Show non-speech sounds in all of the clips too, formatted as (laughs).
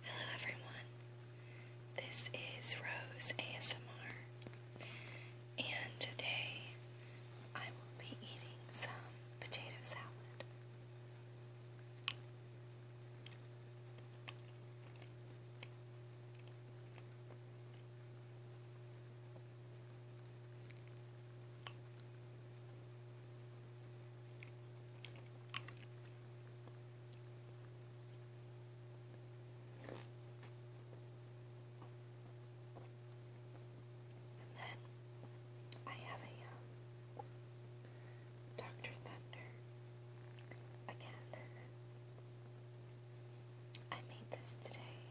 Hello everyone, this is Rose ASMR, and today I will be eating some potato salad. And then I have a um, Dr. Thunder again. I made this today.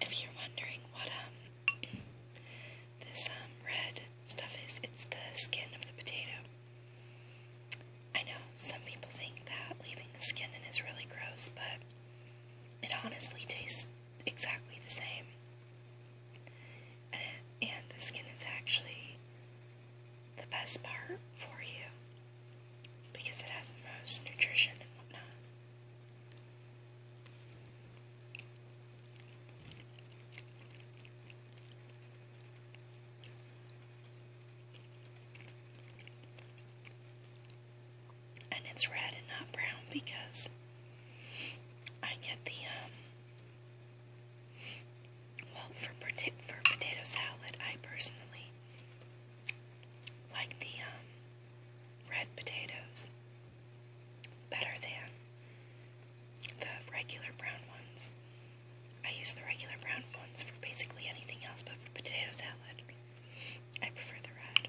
If you're wondering what um this um red stuff is, it's the skin of the potato. I know some people think that leaving the skin in is really gross, but it honestly tastes exactly the same. And, it, and the skin is actually the best part for you because it has the most nutrition and whatnot. And it's red and not brown because I get the um well, for, pota for potato salad, I personally like the um, red potatoes better than the regular brown ones. I use the regular brown ones for basically anything else, but for potato salad, I prefer the red.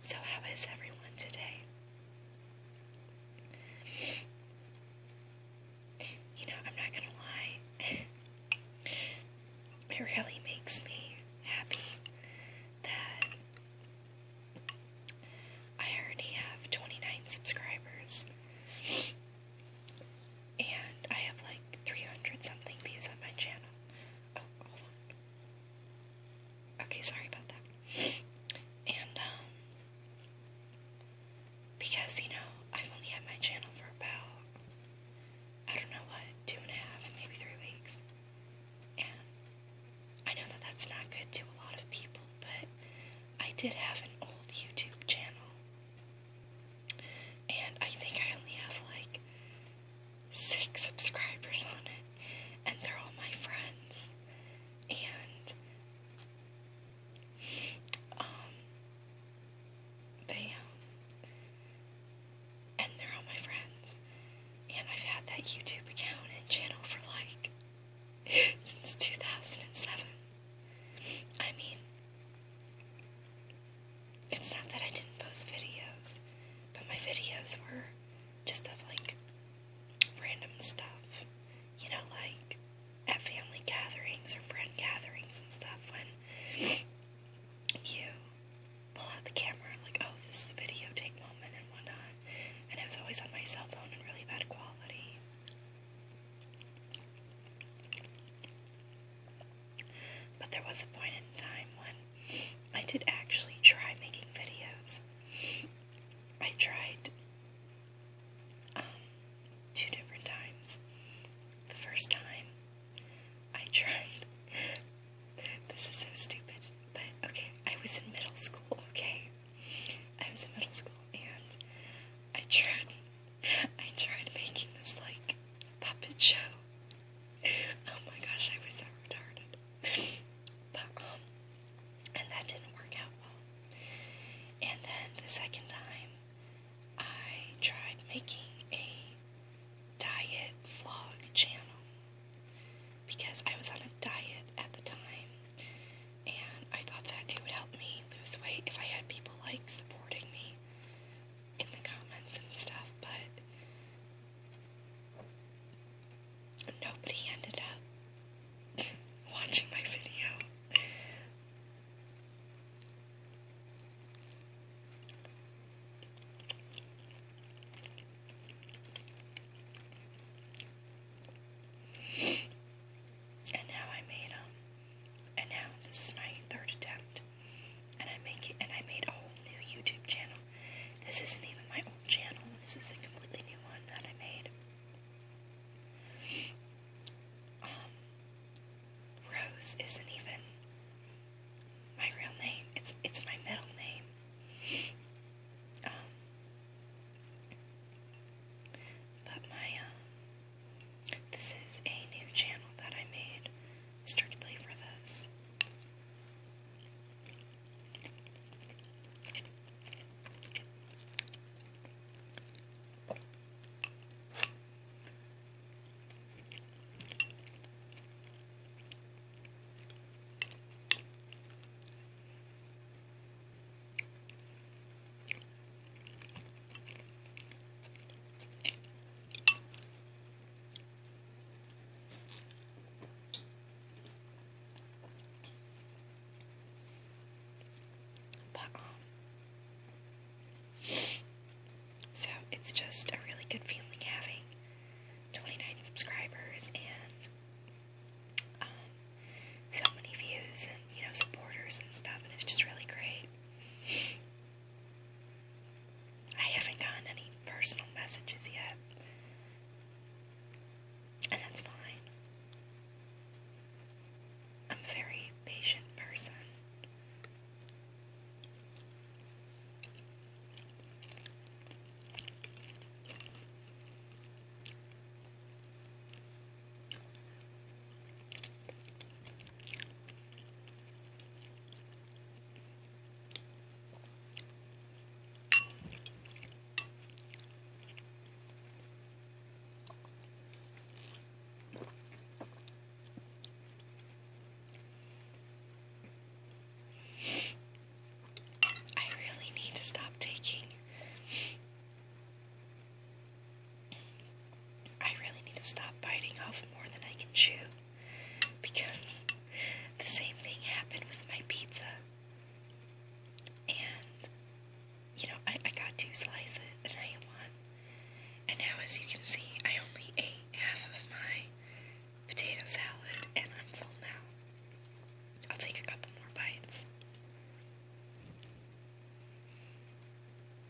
So, how is everyone today? You know, I'm not gonna lie, it really makes me happy that I already have 29 subscribers. And I have like 300 something views on my channel. Oh, hold on. Okay, sorry about that. And, um, because, you know, I've only had my channel for about, I don't know what, two and a half, maybe three weeks. And I know that that's not good to a lot of people, but I did have an old YouTube channel, and I think I only have like six subscribers on it, and they're all my friends. And um, they um, and they're all my friends, and I've had that YouTube account and channel for like since 2007. I mean, it's not that I didn't post videos, but my videos were just of like random stuff, you know, like at family gatherings or friend gatherings and stuff when. you pull out the camera and like, oh, this is the video take moment and whatnot. And it was always on my cell phone and really bad quality. But there was a point in time when I did actually try making videos. I tried um, two different times. The first time I (laughs) tried, this is so stupid, but okay, I was in middle school, okay? I was in middle school and I tried I tried making this like puppet show. Oh my gosh, I was so retarded. But um and that didn't work out well. And then the second time I tried making a diet vlog channel because I was on a diet at the time and I thought that it would help me lose weight if I had people like supporting me in the comments and stuff, but nobody ended up (laughs) watching my video and now I made them. Um, and now this is my third attempt, and I make it. And I made a whole new YouTube channel. This isn't even my old channel. This is a completely new one that I made. Um, Rose isn't even my real name. It's it's my middle name. Um, but my, this is a new channel that I made strictly for this. But, um, so it's just a really good feeling having 29 subscribers and um, so many views and, you know, supporters and stuff, and it's just really great. I haven't gotten any personal messages yet, and that's fine. I'm a very patient person. I really need to stop taking I really need to stop biting off more than I can chew because the same thing happened with my pizza. And, you know, I, I got two slices and I want, And now, as you can see, I only ate half of my potato salad and I'm full now. I'll take a couple more bites.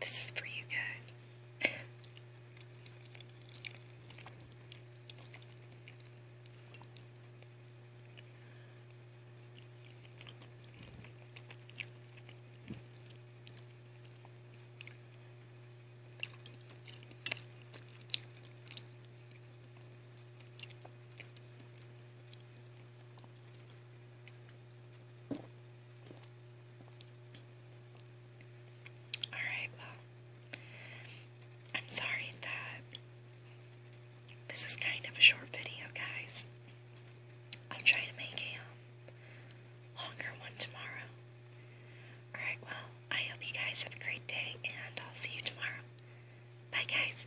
This is for you guys. Alright, well, I'm sorry that this is kind of a short video, guys. i am trying to make a um, longer one tomorrow. Alright, well, I hope you guys have a great day, and I'll see you tomorrow. Bye, guys.